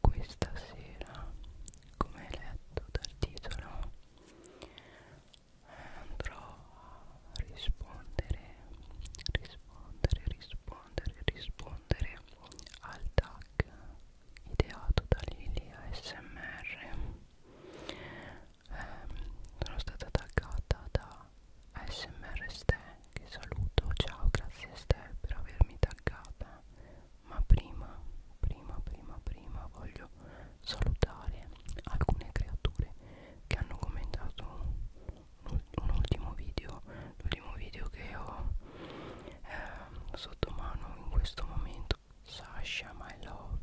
Questa sera, come hai letto dal titolo, eh, andrò a rispondere, rispondere, rispondere, rispondere al tag ideato da Lili ASMR ehm, sono stata taggata da ASMR Ste che saluto, ciao grazie Ste per avermi taggata ma prima, prima, prima, prima voglio salutare alcune creature che hanno commentato un, un ultimo video l'ultimo video che ho eh, sotto mano in questo momento Sasha My Love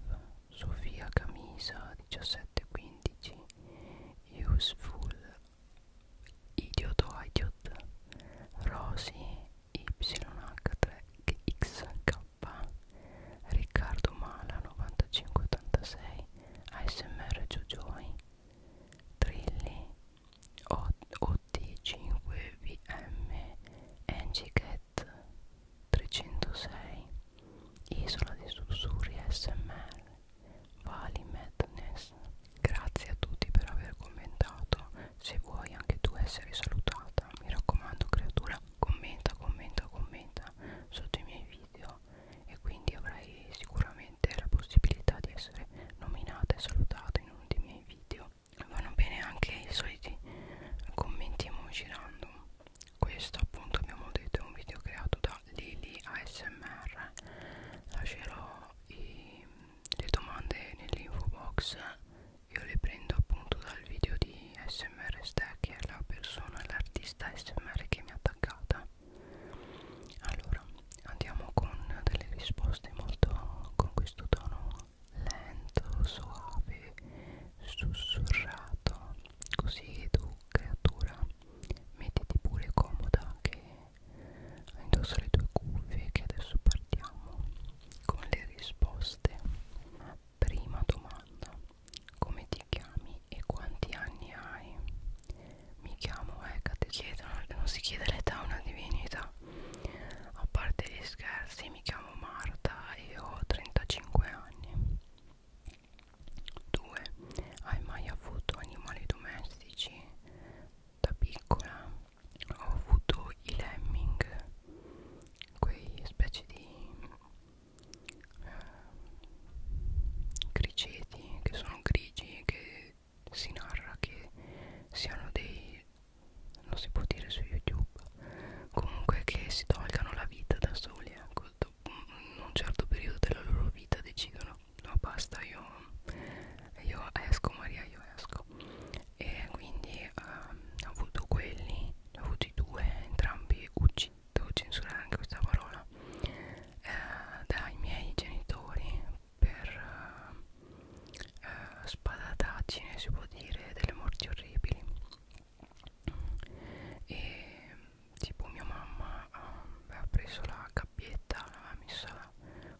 Sofia Camisa 1715 Useful Idioto Idiot Rosy YH3XK Riccardo Mala 9586 ASMR Jojoy Trilli OT5VM Engicat 306 Isola dei sussurri SMR Vali Madness Grazie a tutti per aver commentato Se vuoi anche tu essere salutata Mi raccomando creatura Commenta, commenta, commenta Sotto i miei video E quindi avrai sicuramente la possibilità di essere nominata e salutata in uno dei miei video Vanno bene anche i soliti commenti emoji random questo appunto abbiamo detto è un video creato da Lili ASMR lascerò i, le domande nell'info box io le prendo appunto dal video di SMR Stack che è la persona, l'artista SMR che mi ha attaccata allora andiamo con delle risposte molto con questo tono lento, suave, sussurrato così tu creatura mettiti pure comoda che indossa le tue cuffie che adesso partiamo con le risposte prima domanda come ti chiami e quanti anni hai mi chiamo Hecate chiedono non si chiede l'età a una divinità a parte gli scherzi mi chiamo Marta e ho 35 anni 2. Hai mai avuto animali domestici? Da piccola ho avuto i lemming, quei specie di eh, criceti che sono grigi, che si narra che siano dei non si può dire su youtube comunque che si tolgano la vita da soli ecco, in un certo periodo della loro vita decidono no basta io, io esco Maria io esco e quindi eh, ho avuto quelli ne ho avuti due entrambi uccisi devo censurare anche questa parola eh, dai miei genitori per eh, eh, spadatacine si può dire delle morti orribili e tipo mia mamma ehm, aveva preso la cappietta, l'aveva messa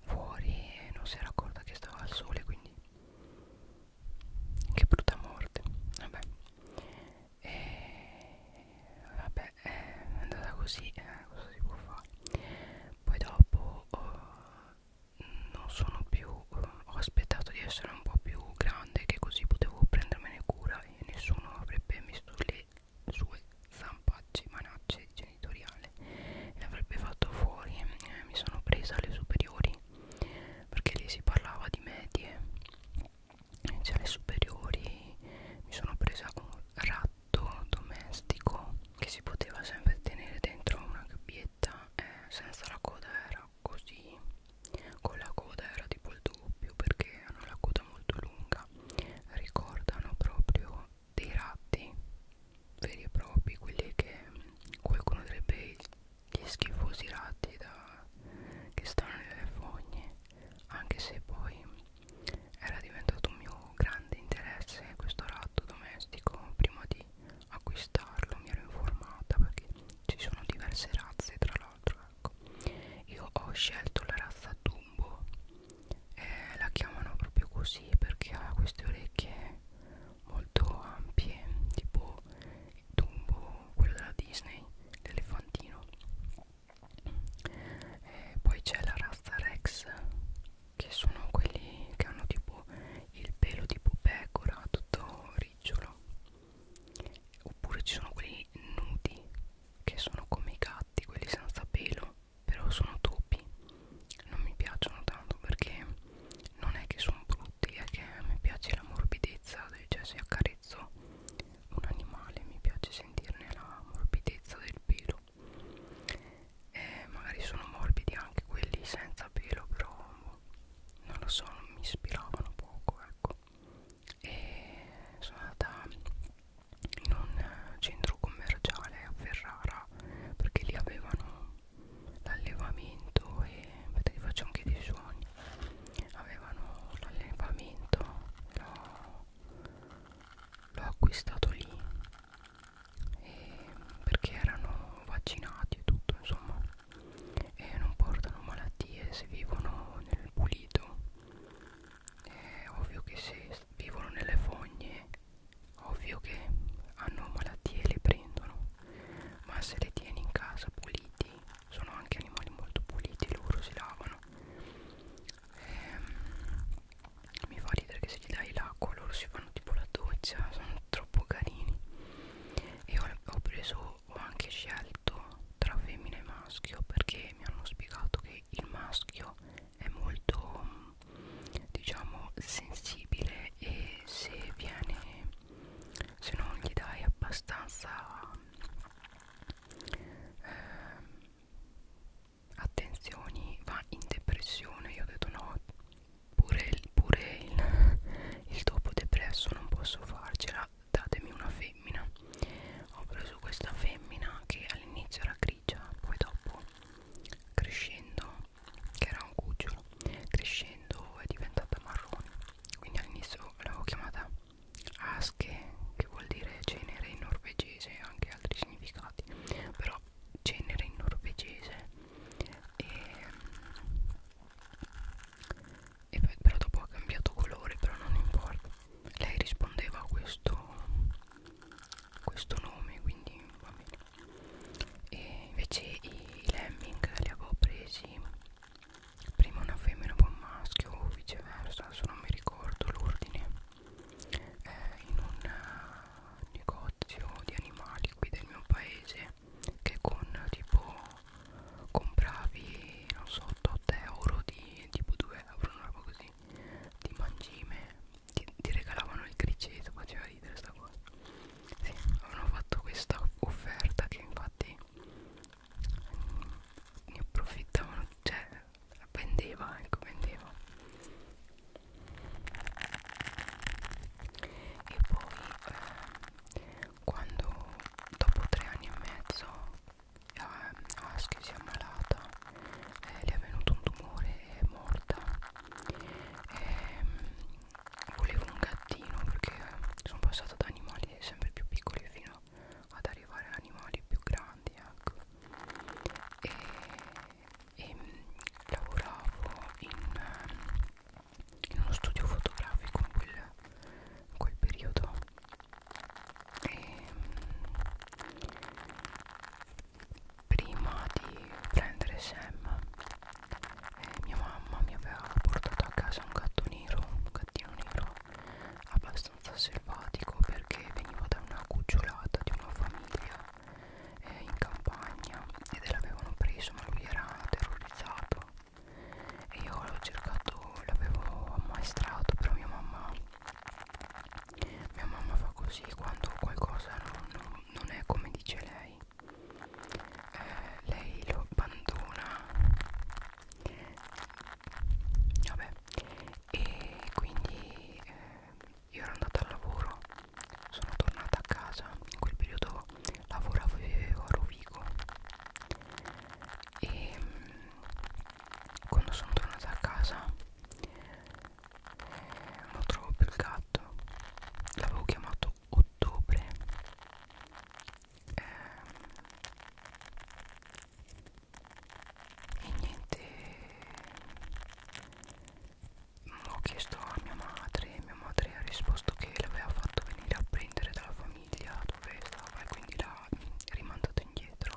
fuori e non si era accorta che stava al sole, quindi che brutta morte, vabbè. E vabbè, è andata così, eh, cosa si può fare? Poi dopo uh, non sono più, uh, ho aspettato di essere un po' più grande che così potevo prendermene cura e nessuno avrebbe messo le sue zampacce manacce genitoriale e avrebbe fatto fuori eh, mi sono presa alle superiori perché lì si parlava di medie cioè alle superiori mi sono presa un ratto domestico che si poteva sempre tenere dentro una gabbietta eh, senza la coda era così con la coda era tipo il doppio perché hanno la coda molto lunga ricordano proprio dei ratti veri e propri quelli che qualcuno direbbe gli schifosi ratti da, che stanno nelle fogne anche se poi era diventato un mio grande interesse questo ratto domestico prima di acquistarlo mi ero informata perché ci sono diverse razze tra l'altro sacco io ho scelto la razza Dumbo eh, la chiamano proprio così perché ha queste orecchie molto ampie tipo Dumbo quello della Disney l'elefantino eh, poi c'è la razza Rex che sono quelli che hanno tipo il pelo tipo pecora tutto ricciolo oppure ci sono quelli nudi che sono come i gatti quelli senza pelo però sono topi non mi piacciono tanto perché non è che sono brutti è che mi piace la morbidezza cioè se accarezzo un animale mi piace sentirne la morbidezza del pelo eh, magari sono morbidi anche quelli senza pelo però non lo so mi ispiravano poco ecco e sono andata in un centro commerciale a Ferrara perché lì avevano l'allevamento e aspetta che faccio anche dei suoni avevano l'allevamento l'ho acquistato lì e perché erano vaccinati e tutto insomma e non portano malattie se vivono nel pulito è ovvio che se vivono nelle fogne ovvio che hanno malattie e le prendono ma se le tieni in casa puliti sono anche animali molto puliti loro si lavano e, ehm, mi fa ridere che se gli dai l'acqua loro si fanno tipo la doccia sono troppo carini e ho, ho preso ho anche scelto tra femmina e maschio perché mi hanno spiegato che il maschio è molto diciamo sensibile e se viene se non gli dai abbastanza eh, attenzioni va in depressione io ho detto no pure il, pure il, il topo depresso non posso farcela datemi una femmina ho preso questa femmina che all'inizio era grigia poi dopo crescendo che era un cucciolo crescendo è diventata marrone quindi all'inizio l'avevo chiamata Aske che vuol dire genere in norvegese e anche altri significati però genere in norvegese e e poi, però dopo ha cambiato colore però non importa lei rispondeva a questo questo nome quindi va bene e invece i, i lemming li avevo presi prima una femmina poi un maschio o viceversa adesso non mi ricordo l'ordine eh, in un eh, negozio di animali qui del mio paese che con tipo compravi non so 8 euro di tipo 2 euro una roba così di mangime ti, ti regalavano il criceto faceva ridere sta cosa sì, avevano fatto questa offerta che infatti ne approfittavano cioè vendeva ecco vendeva e poi eh, quando dopo tre anni e mezzo eh, Aschi si è ammalata eh, le è venuto un tumore e è morta eh, volevo un gattino perché sono passata da animali sempre più piccoli fino ad arrivare a animali più grandi ecco. e, e lavoravo in, in uno studio fotografico in quel, in quel periodo e ehm, prima di prendere Sam eh, mia mamma mi aveva portato a casa un gatto nero un gattino nero abbastanza selvatico perché veniva da una cucciolata di una famiglia eh, in campagna ed l'avevano preso ma lui era terrorizzato e io l'avevo cercato, l'avevo ammaestrato però mia mamma mia mamma fa così quando qualcosa non, non, non è come dice lei eh, lei lo abbandona vabbè e quindi eh, io ero andata al lavoro sono tornata a casa in quel periodo lavoravo e vivevo a Rovigo e quando sono tornata a casa eh, non trovo più il gatto l'avevo chiamato ottobre eh, e niente ho chiesto a mia madre mia madre ha risposto che l'aveva fatto venire a prendere dalla famiglia famiglia dove stavo e quindi l'ha rimandato indietro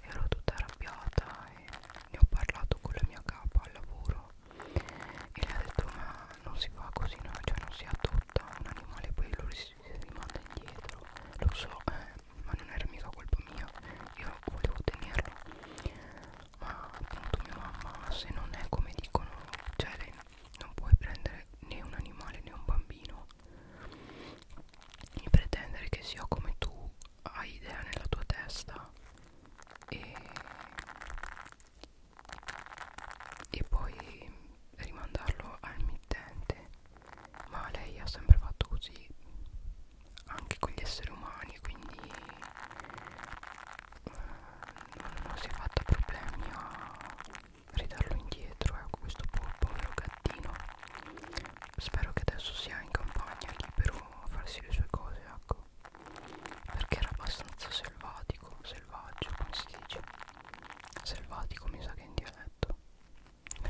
ero tutta arrabbiata e ne ho parlato con la mia capa al lavoro e le ha detto ma non si fa così no? cioè non si adotta un animale poi lo si rimanda indietro lo so eh, ma non era mica colpa mia io volevo tenerlo ma appunto mia mamma se non è come dicono cioè non puoi prendere né un animale né un bambino e pretendere che sia come tu hai idea nella tua testa e, e poi rimandarlo al mittente ma lei ha sempre fatto così anche con gli esseri umani quindi eh, non, non si è fatta problemi a ridarlo indietro ecco questo povero gattino spero che adesso sia in campagna libero a farsi le sue cose ecco perché era abbastanza selvatico selvaggio come si dice selvatico mi sa che in dialetto e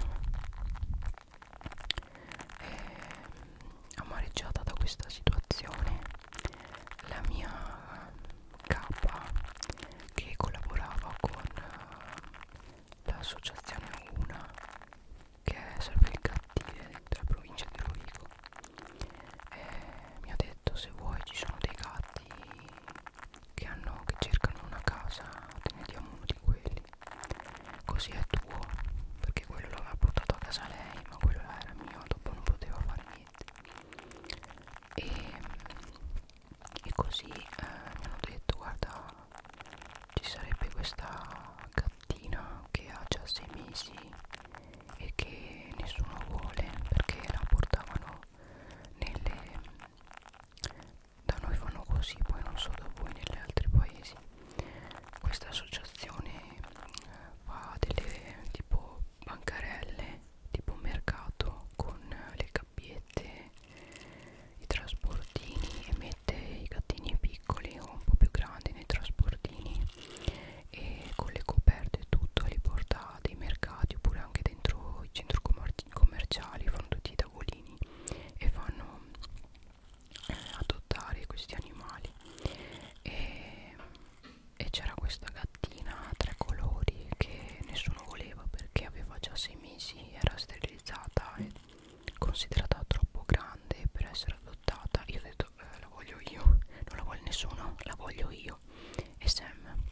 eh, ehm, amareggiata da questa situazione la mia K che collaborava con uh, l'associazione Una che serve il cattive della provincia di Rovigo e mi ha detto se vuoi ci sono dei gatti che, hanno, che cercano una casa te ne diamo uno di quelli così è tuo perché quello l'aveva portato a casa lei ma quello era mio dopo non poteva fare niente e e così eh, mi hanno detto guarda ci sarebbe questa gattina che ha già 6 mesi e che nessuno vuole perché la portavano nelle da noi fanno così poi non so da voi negli altri paesi questa associazione eh, fa delle tipo bancarelle tipo un mercato con le gabbiette, i trasportini e mette i gattini piccoli o un po' più grandi nei trasportini e con le coperte e tutto li porta dei mercati oppure anche dentro i centri commerciali fanno tutti i tavolini e fanno eh, adottare questi animali e, e c'era questa gatta lattina tre colori che nessuno voleva perché aveva già sei mesi, era sterilizzata e considerata troppo grande per essere adottata. Io ho detto eh, la voglio io, non la vuole nessuno, la voglio io. E Sam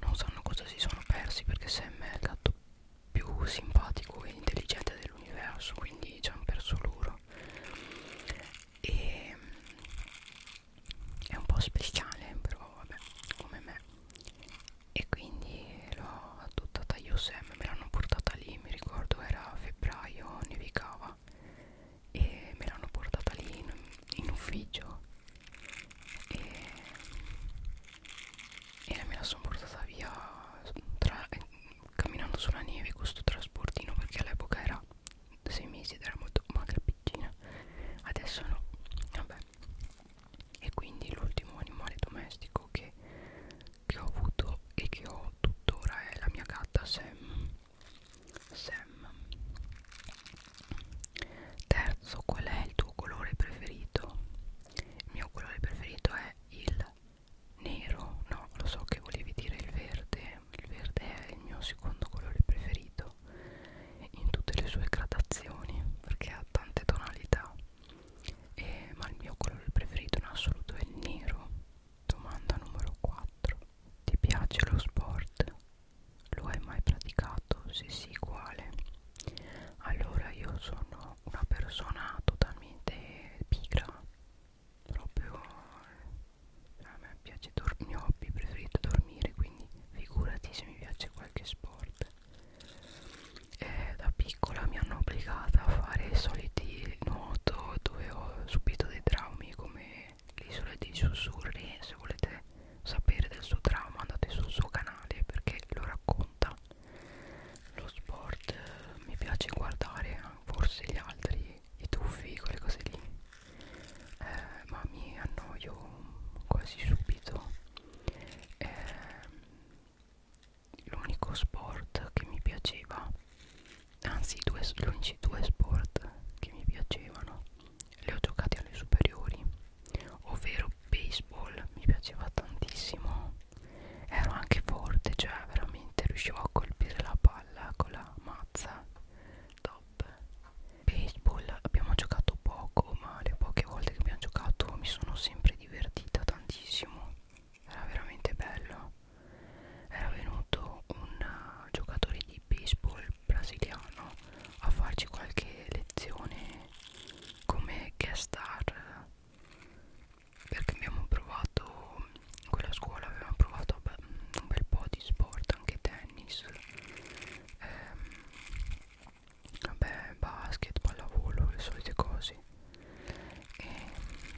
non sanno cosa si sono persi perché Sam è il gatto più simpatico e intelligente dell'universo, quindi ci hanno perso loro. E è un po' speciale però vabbè come me e quindi l'ho adottata io sem me l'hanno portata lì mi ricordo era febbraio nevicava e me l'hanno portata lì in, in ufficio e, e me la sono portata via tra, camminando sulla neve con sto trasportino perché all'epoca era sei mesi ed era molto magra e piccina adesso no vabbè e quindi l'ultimo animale domestico che, che ho avuto e che ho tuttora è la mia gatta Sam Sam terzo qual è il tuo colore preferito? il mio colore preferito è il nero no lo so che volevi dire il verde il verde è il mio secondo colore preferito bello in tutte le sue gradazioni perché ha tante tonalità e, ma il mio colore preferito in assoluto è il nero domanda numero 4 ti piace lo sport? lo hai mai praticato? se sì quale? allora io sono una persona totalmente pigra proprio a me piace dormire, il mio hobby preferito è dormire quindi figurati se mi piace qualche sport niente eh, da piccola mi hanno obbligata a fare i soliti nuoto dove ho subito dei traumi come l'isola dei sussurri se volete sapere del suo trauma andate sul suo canale perché lo racconta lo sport eh, mi piace guardare eh, forse gli altri i tuffi quelle cose lì eh, ma mi annoio quasi subito eh, l'unico sport che mi piaceva anzi due, gli unici due sport che mi piacevano li ho giocati alle superiori ovvero baseball mi piaceva tantissimo ero anche forte cioè veramente riuscivo a colpire la palla con la mazza top baseball abbiamo giocato poco ma le poche volte che abbiamo giocato mi sono sempre divertita tantissimo era veramente bello era venuto un uh, giocatore di baseball brasiliano a farci qualche lezione come guest star perché abbiamo provato in quella scuola avevamo provato un bel po' di sport anche tennis ehm, vabbè basket, pallavolo, le solite cose e,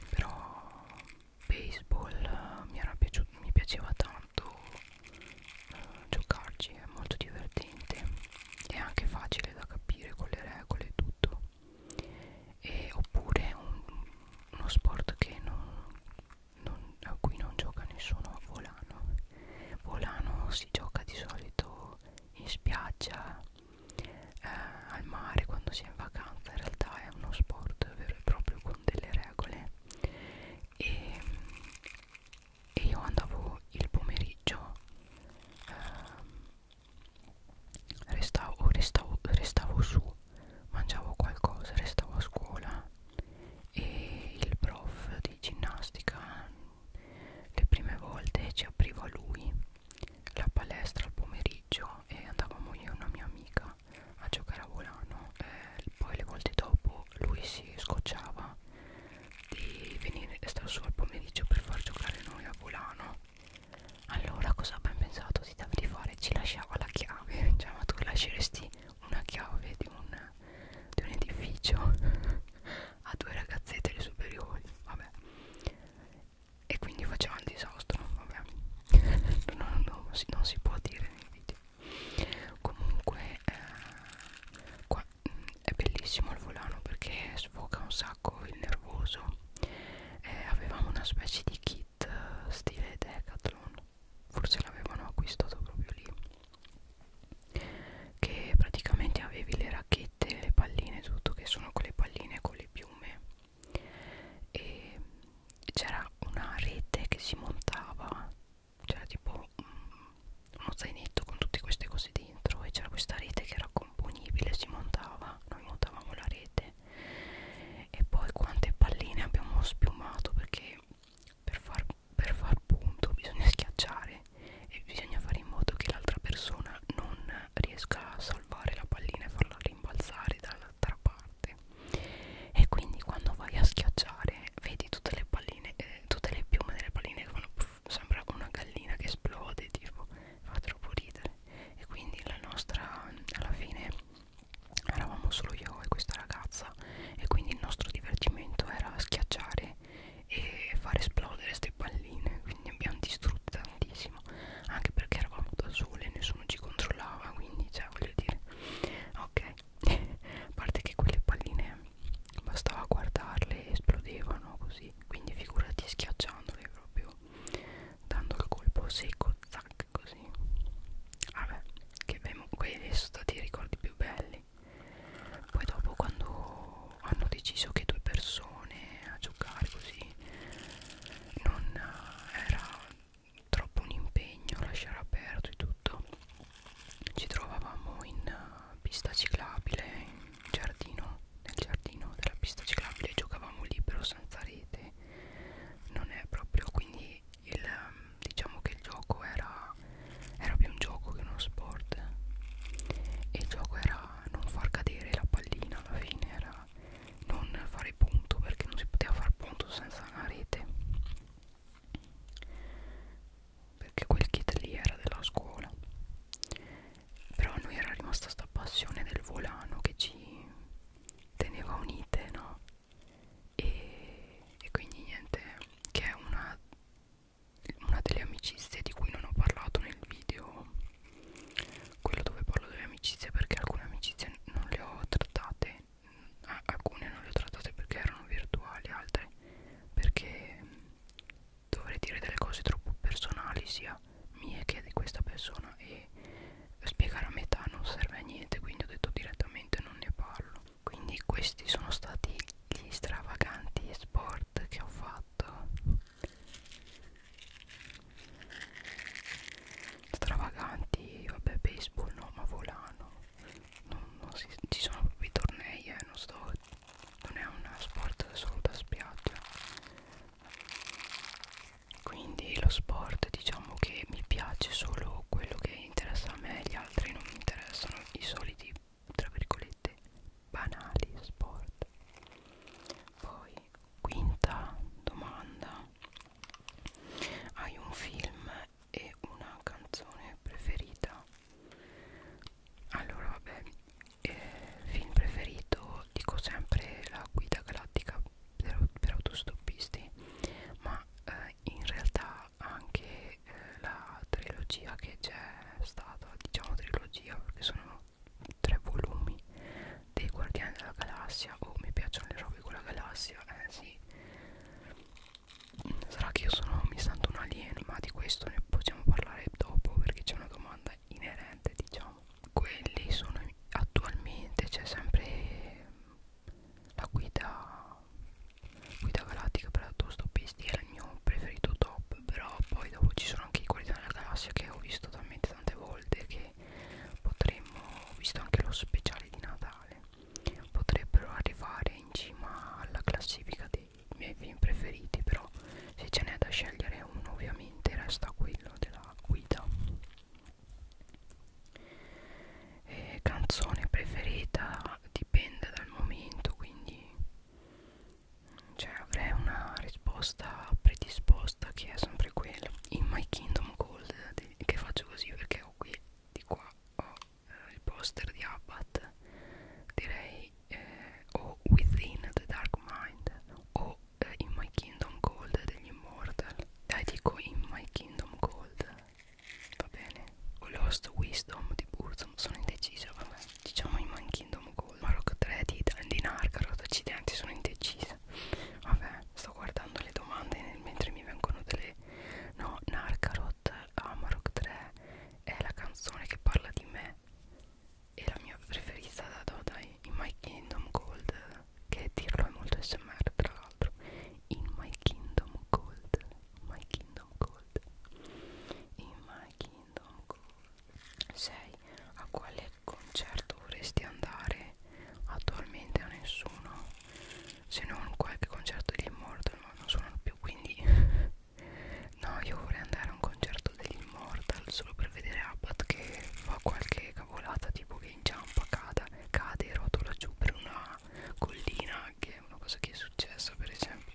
però baseball eh, mi, era piaciuto, mi piaceva tanto eh, giocarci, è molto divertente è anche facile da capire con le regole e tutto e, oppure un, uno sport che non, non, a cui non gioca nessuno a volano Volano si gioca di solito in spiaggia, eh, al mare quando si è in vacanza, in realtà è uno sport vero e proprio con delle regole e, e io andavo il pomeriggio, eh, restavo, restavo, restavo su, mangiavo qualcosa, restavo a scuola e il prof di ginnastica le prime volte ci apriva lui la palestra al pomeriggio e andavamo io e una mia amica a giocare a volano eh, poi le volte dopo lui si scocciava di venire e stare su al pomeriggio per far giocare noi a volano allora cosa abbiamo pensato di, di fare? Ci lasciava la chiave, cioè ma tu lasceresti una chiave di un di un edificio a due ragazzette le superiori vabbè e quindi faceva un disastro vabbè non, non, non, si, non si può dire nei video comunque eh, qua, è bellissimo il volano perché sfoca un sacco il nervoso eh, avevamo una specie di kit eh, stile decathlon forse l'avevano acquistato proprio lì che praticamente avevi le racchette, le palline, tutto che sono quelle palline con le piume e c'era una rete che si montava c'era tipo uno zainetto con tutte queste cose dentro e c'era questa rete che era componibile si montava noi montavamo la rete e poi quante palline abbiamo spiumato perché per far per far punto bisogna schiacciare e bisogna fare in modo che l'altra persona non riesca a salvare la pallina e farla rimbalzare dall'altra parte e quindi quando vai a schiacciare vedi tutte le palline eh, tutte le piume delle palline che fanno puff, sembra una gallina che esplode tipo fa troppo ridere e quindi la nostra alla fine eravamo solo io e questa ragazza e quindi il nostro divertimento era schiacciare palline e far esplodere queste palline quindi abbiamo distrutto tantissimo anche perché eravamo da sole e nessuno ci controllava quindi cioè voglio dire ok a parte che quelle palline bastava guardarle esplodevano così quindi figurati schiacciandole proprio dando il colpo secco zac così vabbè che abbiamo quelli sono stati i ricordi più belli poi dopo quando hanno deciso che due persone a giocare così non eh, era troppo un impegno lasciare aperto e tutto ci trovavamo in eh, pista ciclabile in giardino nel giardino della pista ciclabile giocavamo libero senza rete non è proprio quindi il, ehm, diciamo che il gioco era era più un gioco che uno sport e il gioco era non far cadere la pallina alla fine era non fare punto perché non si poteva far punto senza una rete perché quel kit lì era della scuola però a noi era rimasta sta passione del volano che ci teneva unite no e, e quindi niente che è una una delle amicizie di cui non ho parlato nel video quello dove parlo delle amicizie perché alcune amicizie non le ho trattate ah, alcune non le ho trattate perché erano virtuali altre perché mm, dovrei dire delle cose troppo personali sia mie che di questa persona e spiegare a metà non serve a niente quindi ho detto direttamente non ne parlo quindi questi sono stati gli stravaganti sport che ho fatto stravaganti vabbè baseball no ma volano non, non si, ci sono proprio i tornei eh, non sto non è un sport solo da spiaggia quindi lo sport diciamo che mi piace solo quello che interessa a me gli altri non mi interessano i soliti tra virgolette banali sport poi quinta domanda hai un film e una canzone preferita allora vabbè eh, film preferito dico sempre la guida galattica per, per autostoppisti ma eh, in realtà anche eh, la trilogia che c'è stata diciamo trilogia perché sono tre volumi dei guardiani della galassia oh mi piacciono le robe con la galassia eh sì sarà che io sono mi sento un alieno ma di questo ne possiamo parlare dopo perché c'è una domanda inerente diciamo quelli sono attualmente c'è sempre la guida Guida Galattica per la Tostopisti era il mio preferito top Però poi dopo ci sono anche i Guardiani della Galassia che ho visto talmente tante volte Che potremmo, ho visto anche lo speciale di Natale Potrebbero arrivare in cima alla classifica dei miei film preferiti Però se ce n'è da scegliere uno ovviamente resta quello della guida eh, Canzone preferita dipende dal momento quindi cioè avrei una risposta predisposta che è sempre quella in My Kingdom Cold che faccio così perché ho qui di qua ho eh, il poster di Abbat direi eh, o Within the Dark Mind o eh, In My Kingdom Cold degli Immortal dai eh, dico In My Kingdom Cold va bene o Lost Wisdom di Burzum sono indecisa vabbè diciamo in Man Kingdom Gold Maroc 3 di Dandinar Carota Accidenti sono indecisa vabbè sto guardando le domande nel, mentre mi vengono delle no Narcarot Amarok 3 è la canzone che parla di me e la mia preferita da Doda in My Kingdom Gold che dirlo è molto smr tra l'altro in My Kingdom Gold My Kingdom Gold Gold in My Kingdom Gold 6 a quale concerto vorresti andare? Attualmente a nessuno se non qualche concerto degli Immortal ma non suonano più quindi no io vorrei andare a un concerto degli Immortal solo per vedere Abbat che fa qualche cavolata tipo che inciampa, cada, cade e rotola giù per una collina che è una cosa che è successa per esempio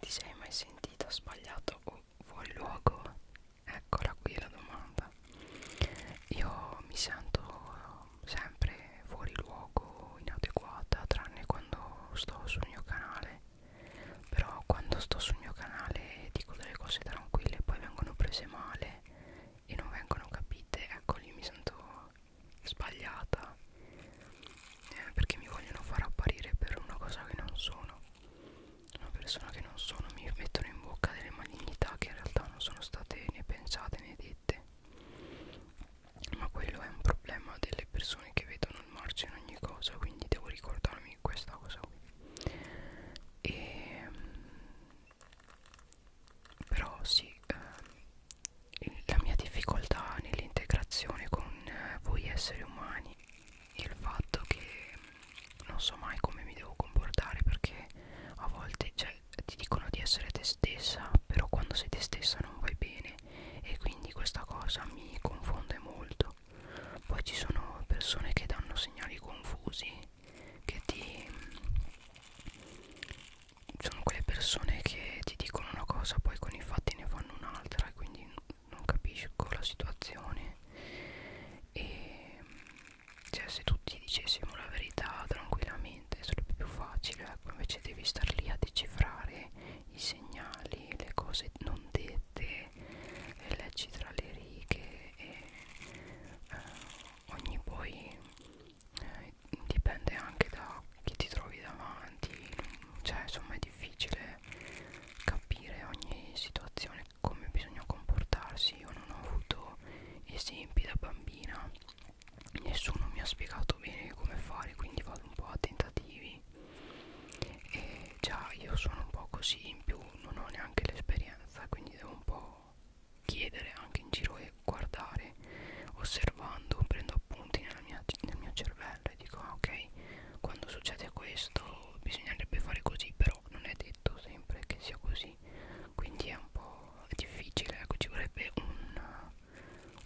ti sei mai sentita sbagliato o fuori luogo? Eccola qui la domanda. Io mi sento eh, sempre fuori luogo, inadeguata, tranne quando sto sul mio canale. Però quando sto sul mio canale dico delle cose tranquille, poi vengono prese male e non vengono capite. Ecco lì mi sento sbagliata eh, perché mi vogliono far apparire per una cosa che non sono una persona che non sono mi mettono in bocca delle malignità che in realtà non sono state né pensate né dette ma quello è un problema delle persone che vedono il marcio in ogni cosa quindi devo ricordarmi questa cosa qui e ehm, però sì eh, la mia difficoltà nell'integrazione con eh, voi esseri umani il fatto che non so mai come mi devo comportare perché a volte cioè, ti dicono di essere te stessa però quando sei te stessa non vai bene e quindi questa cosa mi confonde molto poi ci sono persone che danno segnali confusi che ti sono quelle persone che ti dicono una cosa poi con i fatti ne fanno un'altra e quindi non capisco la situazione e cioè se tutti dicessimo la verità tranquillamente sarebbe più facile ecco invece devi star lì a decifrare i segnali le cose non dette e leggi tra le righe e eh, ogni poi eh, dipende anche da chi ti trovi davanti cioè insomma è difficile capire ogni situazione come bisogna comportarsi io non ho avuto esempi da bambina nessuno mi ha spiegato bene come fare quindi vado un po' a tentativi e già io sono un po' così in più non ho neanche l'esperienza quindi devo un po' chiedere anche in giro e guardare osservando, prendo appunti nella mia, nel mio cervello e dico ah, ok, quando succede questo bisognerebbe fare così, però non è detto sempre che sia così, quindi è un po' difficile, ecco ci vorrebbe un,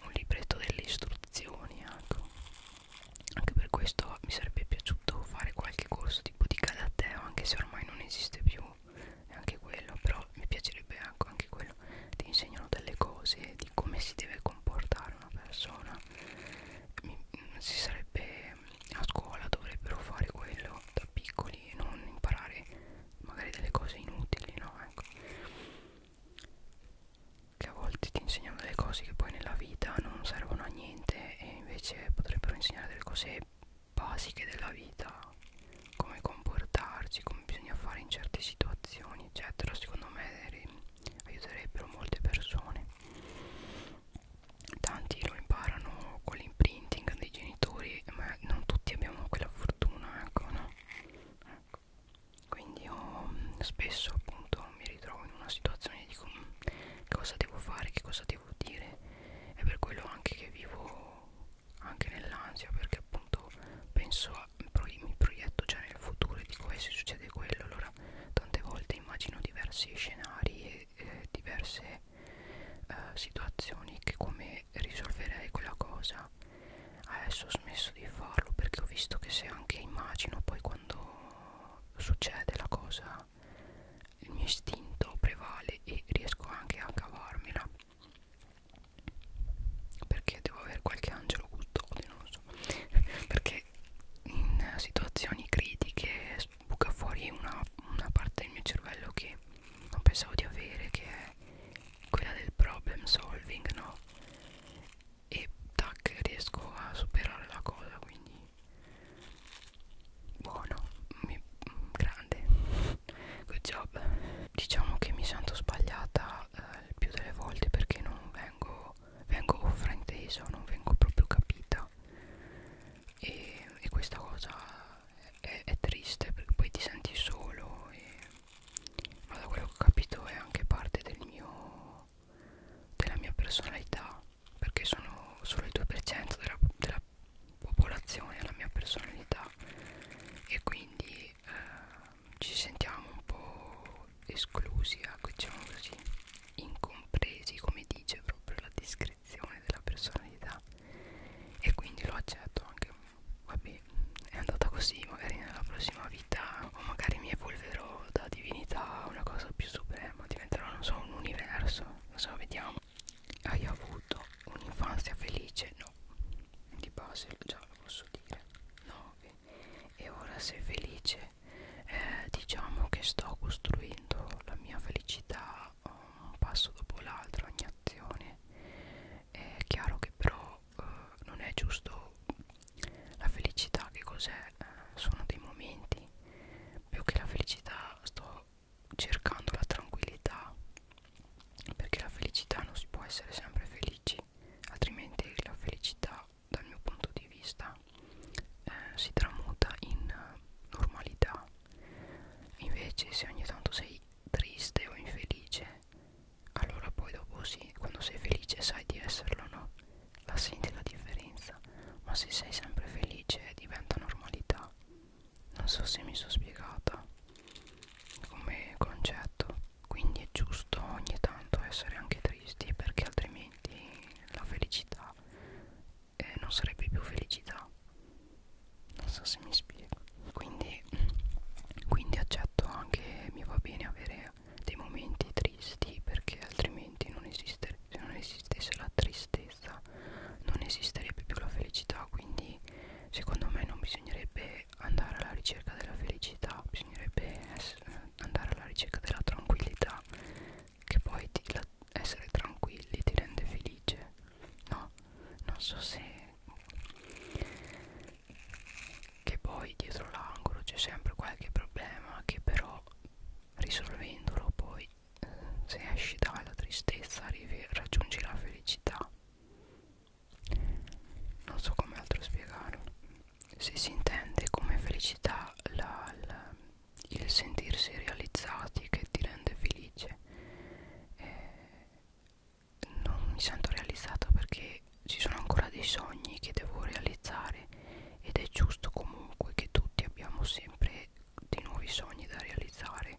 un libretto delle istruzioni, ecco. anche per questo mi sarebbe piaciuto fare qualche corso tipo di karateo, anche se ormai non esiste più, è anche quello, però mi piacerebbe ecco anche quello ti insegnano delle cose di come si deve comportare una persona Mi, mm, si sarebbe a scuola dovrebbero fare quello da piccoli e non imparare magari delle cose inutili no ecco che a volte ti insegnano delle cose che poi nella vita non servono a niente e invece potrebbero insegnare delle cose basiche della vita come comportarci, come bisogna fare in certe situazioni eccetera secondo me aiuterebbero molte persone tanti lo imparano con l'imprinting dei genitori ma non tutti abbiamo quella fortuna ecco no ecco. quindi io mm, spesso appunto mi ritrovo in una situazione e dico mm, che cosa devo fare che cosa devo dire è per quello anche che vivo anche nell'ansia perché appunto penso già mi proietto già nel futuro e dico eh se succede quello allora tante volte immagino diversi scenari e eh, diverse eh, situazioni che come risolverei quella cosa adesso ho smesso di farlo perché ho visto che se anche immagino poi quando succede la cosa il mio istinto prevale e riesco anche a cavarmela perché devo avere qualche angelo custode non lo so perché in situazioni critiche buca fuori una, una parte del mio cervello che non pensavo di avere che è quella del problem solving no e tac riesco a superare la cosa quindi buono mi, mm, grande good job diciamo che mi sento sbagliata eh, il più delle volte perché non vengo, vengo fraintesa, non vengo proprio capita e, e questa cosa è, è triste perché poi ti senti solo e, ma da quello che ho capito è anche parte del mio, della mia personalità perché sono solo il 2% della, della popolazione, la mia personalità e quindi eh, ci sentiamo un po' esclusi, ecco, diciamo così, incompresi, come dice proprio la descrizione della personalità e quindi lo accetto anche, vabbè, è andata così, magari nella prossima vita o magari mi evolverò da divinità a una cosa più suprema, diventerò, non so, un universo, non so, vediamo. Hai avuto un'infanzia felice? No, di base già lo posso dire. 9 e ora sei felice eh, diciamo che sto costruendo la mia felicità um, un passo dopo l'altro ogni azione è chiaro che però eh, non è giusto la felicità che cos'è eh, sono dei momenti più che la felicità sto cercando la tranquillità perché la felicità non si può essere sempre felici altrimenti la felicità dal mio punto di vista eh, si tramuta in normalità invece se ogni tanto sei triste o infelice allora poi dopo sì quando sei felice sai di esserlo no la senti la differenza ma se sei sempre felice diventa normalità non so se mi sono spiegata come concetto quindi è giusto ogni tanto essere anche tristi perché altrimenti la felicità eh, non sarebbe più felicità non so se mi spiego quindi, quindi accetto anche mi va bene avere dei momenti tristi perché altrimenti non esiste, se non esistesse la tristezza non esisterebbe più la felicità quindi secondo me non bisognerebbe andare alla ricerca della felicità bisognerebbe essere, andare alla ricerca della tranquillità che poi ti, la, essere tranquilli ti rende felice no non so se che poi dietro l'angolo c'è sempre qualche problema che però risolvendolo poi se esci dalla tristezza arrivi, raggiungi la felicità non so come altro spiegarlo se si intende come felicità la, la, il sentirsi realizzati che ti rende felice eh, non mi sento realizzata perché ci sono ancora dei sogni che devo realizzare ed è giusto comunque che tutti abbiamo sempre dei nuovi sogni da realizzare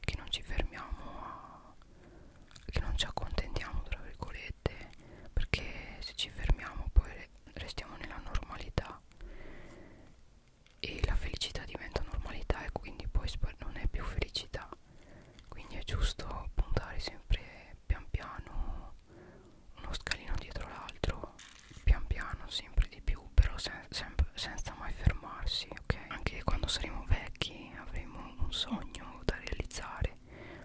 che non ci fermiamo a che non ci accontentiamo tra virgolette perché se ci fermiamo poi restiamo nella normalità e la felicità diventa normalità e quindi poi non è più felicità quindi è giusto puntare sempre pian piano uno scalino dietro l'altro pian piano sempre di più però sen senza mai fermarsi ok anche quando saremo vecchi avremo un sogno da realizzare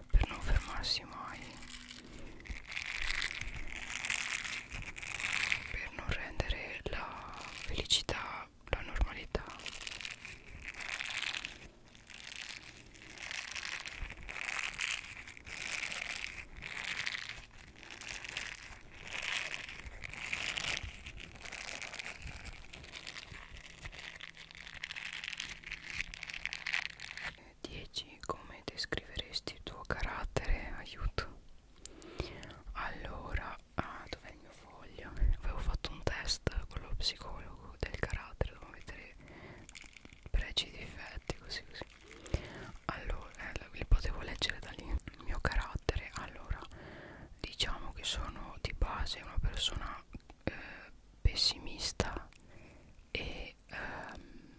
per non fermarsi mai per non rendere la felicità la normalità 10 come descriveresti il tuo carattere aiuto allora ah, dov'è il mio foglio avevo fatto un test con lo psicologo del carattere dovevo mettere pregi e difetti così così allora eh, li potevo leggere da lì il mio carattere allora diciamo che sono di base una persona eh, pessimista e ehm,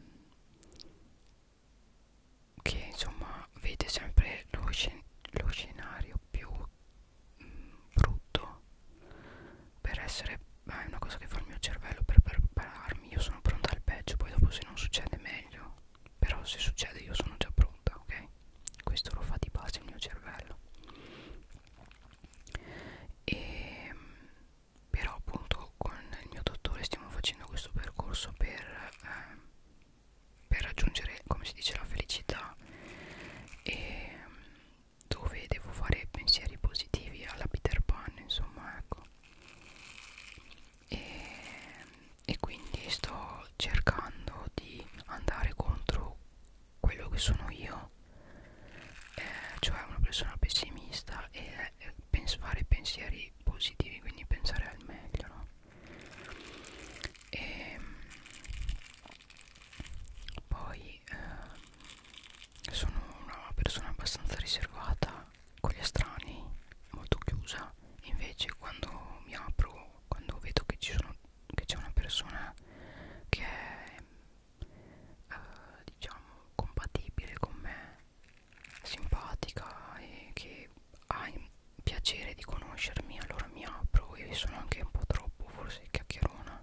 che insomma vede sempre lo, scen lo scenario più mh, mm, brutto per essere ma ah, è una cosa che fa il mio cervello per prepararmi io sono pronta al peggio poi dopo se non succede meglio però se succede io sono già pronta ok questo lo fa di base il mio cervello e, però appunto con il mio dottore stiamo facendo questo percorso per, eh, per raggiungere come si dice la felicità e dove devo fare pensieri positivi alla Peter Pan insomma ecco e, e quindi sto cercando di andare contro quello che sono io eh, cioè una persona pessimista e eh, pens fare pensieri positivi quindi pensare al meglio no? e ehm, poi eh, sono una persona abbastanza riservata con gli estranei molto chiusa invece quando mi apro quando vedo che ci sono che c'è una persona che è eh, diciamo compatibile con me simpatica e che ha il piacere di conoscermi allora mi apro e sono anche un po' troppo forse chiacchierona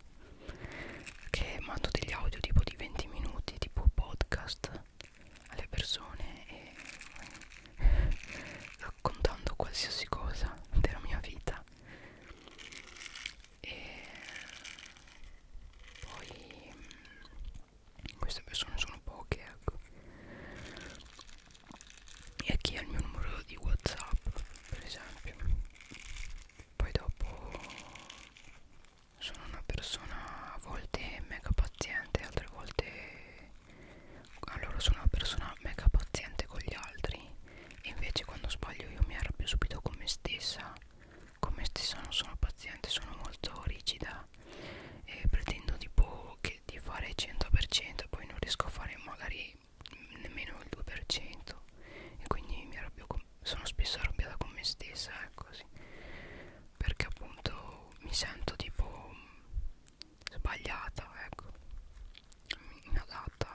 che mando degli audio tipo di 20 minuti tipo podcast alle persone e raccontando qualsiasi cosa della mia vita e poi mm, queste persone sono poche ecco e chi ha il mio numero di whatsapp per esempio poi dopo sono una persona a volte mega paziente altre volte allora sono una persona mega paziente con gli altri e invece quando sbaglio io mi arrabbio subito con me stessa con me stessa non sono paziente sono molto rigida e pretendo tipo che di fare il 100% e poi non riesco a fare magari nemmeno il 2% e quindi mi arrabbio con, sono spesso arrabbiata con me stessa eh, così perché appunto mi sento tipo sbagliata ecco inadatta,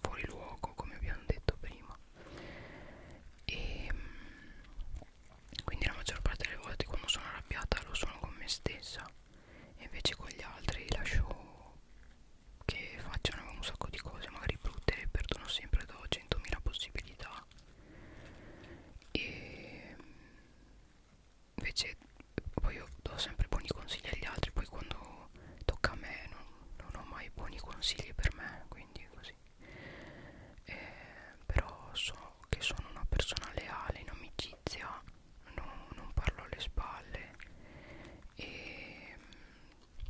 fuori luogo come abbiamo detto prima e mm, quindi la maggior parte delle volte quando sono arrabbiata lo sono con me stessa e invece con gli altri lascio che facciano un sacco di cose magari brutte e perdono sempre do 100.000 possibilità e mm, invece poi io do sempre buoni consigli agli altri poi quando tocca a me non non ho mai buoni consigli per me quindi così eh, però so che sono una persona leale in amicizia no, non parlo alle spalle e mm,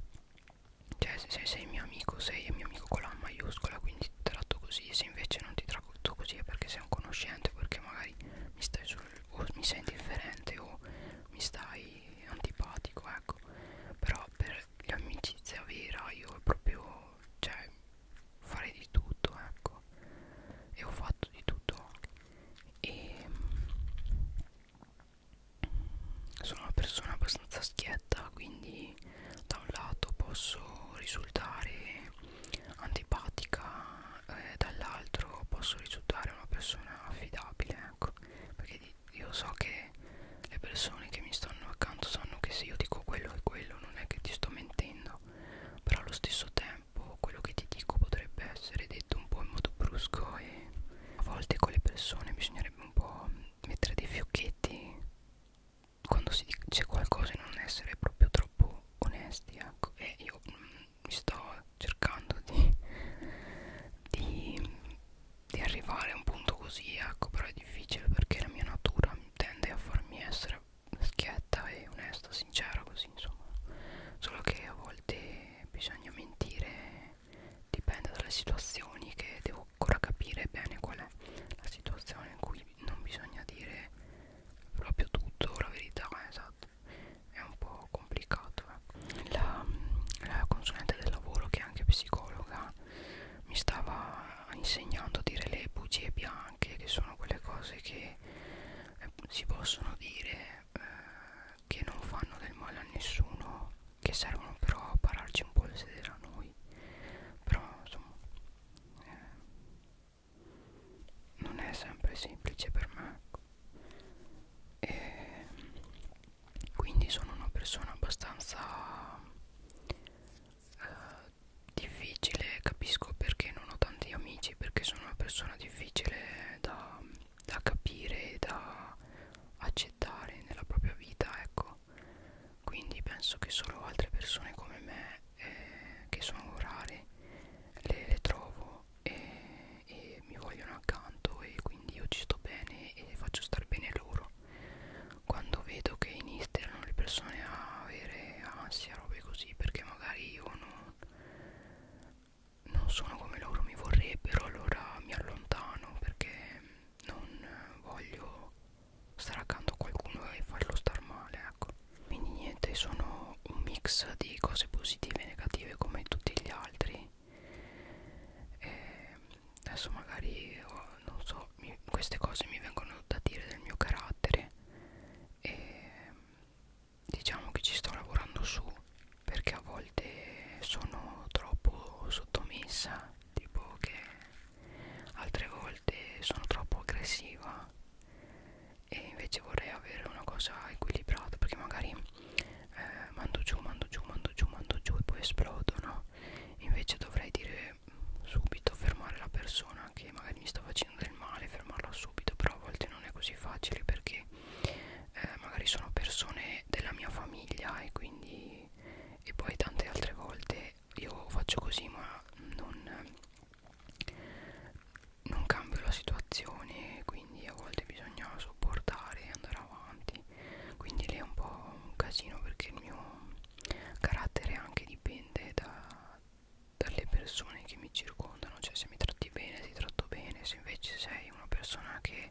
cioè se sei mio amico sei mio amico con la maiuscola quindi ti tratto così se invece non ti tratto così è perché sei un conoscente perché magari mi stai sul o mi sei indifferente o mi stai antipatico ecco però per l'amicizia vera io proprio cioè farei di tutto ecco e ho fatto di tutto e mm, sono una persona abbastanza schietta quindi da un lato posso risultare antipatica eh, dall'altro posso risultare una persona affidabile ecco perché io so che le persone che mi stanno accanto sanno che se io dico quello e quello non è che ti sto mentendo, però allo stesso tempo quello che ti dico potrebbe essere detto un po' in modo brusco e a volte con le persone bisognerebbe un po' mettere dei fiocchetti quando si dice qualcosa e non essere proprio troppo onesti ecco. e io mh, mm, mi sto cercando di, di, di arrivare a un punto così, ecco, però è difficile perché la mia natura tende a farmi essere schietta e onesta, sincera, così insomma, solo che a volte bisogna mentire, dipende dalle situazioni che devo ancora capire bene qual è la situazione in cui non bisogna dire proprio tutto, la verità, esatto, è un po' po' complicato eh. la, la consulente del lavoro che è anche psicologa mi stava insegnando a dire le bugie bianche che sono quelle cose che eh, si possono dire eh, che non fanno del male a nessuno che servono però a pararci un po' le sedere a noi però insomma eh, non è sempre semplice per me ecco e quindi sono una persona abbastanza eh, difficile capisco perché non ho tanti amici perché sono una persona difficile da, da capire e da accettare nella propria vita ecco quindi penso che solo altre persone come me eh, che sono rare le, le trovo e e mi vogliono accanto e quindi io ci sto bene e faccio star bene loro quando vedo che iniziano le persone a avere ansia robe così perché magari io non, non sono come loro mi vorrebbero allora mi allontano perché non voglio stare accanto a qualcuno e farlo star male ecco quindi niente sono un mix di cose positive e negative come tutti gli altri e adesso magari oh, non so mi, queste cose mi vengono da dire del mio carattere e diciamo che ci sto lavorando su perché a volte sono troppo sottomessa tipo che altre volte sono troppo aggressiva e invece vorrei avere una cosa equilibrata perché magari eh, mando giù, mando giù, mando giù, mando giù e poi esplodo, no? Invece dovrei dire mm, subito, fermare la persona che magari mi sta facendo del male, fermarla subito, però a volte non è così facile perché eh, magari sono persone della mia famiglia e quindi e poi tante altre volte io faccio così ma non, non cambio la situazione quindi a volte bisogna sopportare e andare avanti quindi lì è un po' un casino perché il mio carattere anche dipende da, dalle persone che mi circondano cioè se mi tratti bene ti tratto bene se invece sei una persona che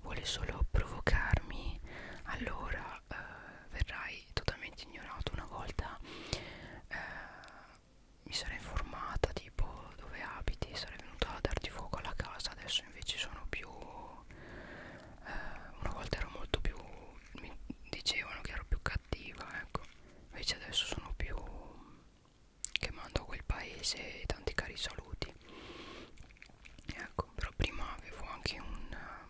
vuole solo provocarmi allora eh, verrai totalmente ignorato una volta eh, mi sarei informata tipo dove abiti sarei venuta a darti fuoco alla casa adesso adesso invece sono più eh, una volta ero molto più mi dicevano che ero più cattiva ecco invece adesso sono più che mando a quel paese tanti cari saluti ecco però prima avevo anche una,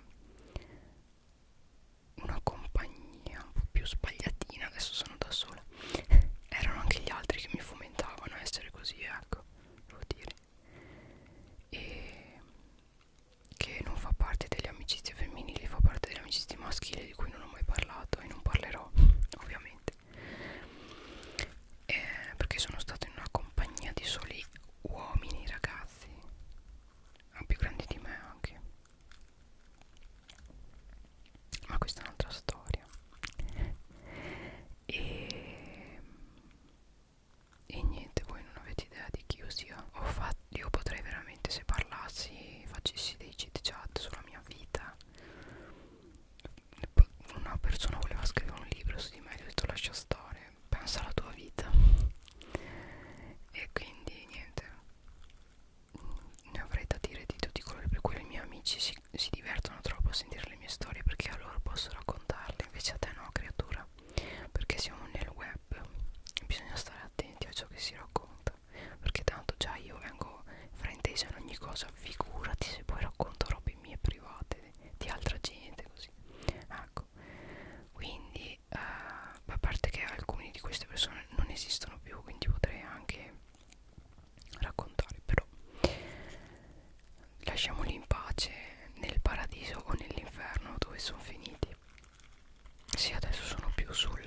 una compagnia un po' più sbagliatina adesso sono da sola erano anche gli altri che mi fomentavano a essere così ecco devo dire e che non fa parte delle amicizie femminili fa parte delle amicizie maschili di cui non ho mai parlato e non parlerò ovviamente eh, perché sono stato in una compagnia di soli uomini ragazzi ma ah, più grandi di me anche ma questa è un'altra storia e, e niente voi non avete idea di chi io sia Ho fatto, io potrei veramente se parlassi facessi dei cheat chat sulla mia vita una persona voleva scrivere un libro su di me gli ho detto lascia stare pensa alla tua vita e quindi niente ne avrei da dire di tutti i colori per cui i miei amici si, si divertono troppo a sentire le mie storie perché a loro posso raccontarle, invece a te no, creatura, perché siamo nel web, bisogna stare attenti a ciò che si racconta, perché tanto già io vengo fraintesa in ogni cosa, figurati se poi racconto robe mie private di altra gente, così. Ecco, quindi eh, a parte che alcune di queste persone non esistono più, quindi potrei anche raccontare però lasciamoli in pace nel paradiso o nell'inferno dove sono finiti sì adesso sono più sul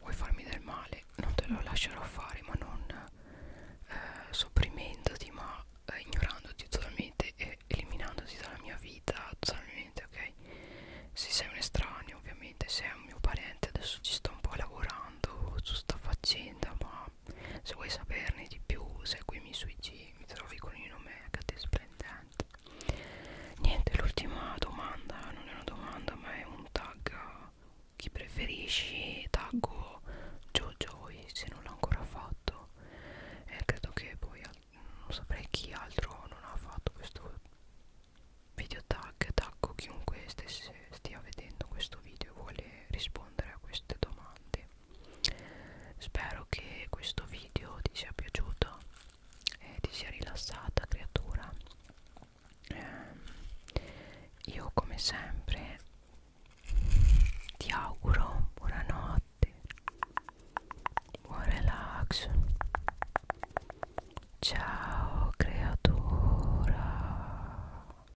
vuoi farmi del male non te lo lascerò fare ma non eh, sopprimendoti ma eh, ignorandoti totalmente e eliminandoti dalla mia vita totalmente ok se sei un estraneo ovviamente sei un mio parente adesso ci sto un po' lavorando su sta faccenda ma se vuoi saperne di più, seguimi sui G, mi trovi con il nome HD Splendente. Niente, l'ultima domanda, non è una domanda, ma è un tag. Chi preferisci? Taggo JoJoy se non l'ho ancora fatto. E eh, credo che poi non saprei chi altro non ha fatto questo video tag. Taggo chiunque stesse stia vedendo questo video e vuole rispondere a queste domande spero che questo video ti sia piaciuto e ti sia rilassata creatura eh, io come sempre ti auguro buonanotte buon relax ciao creatura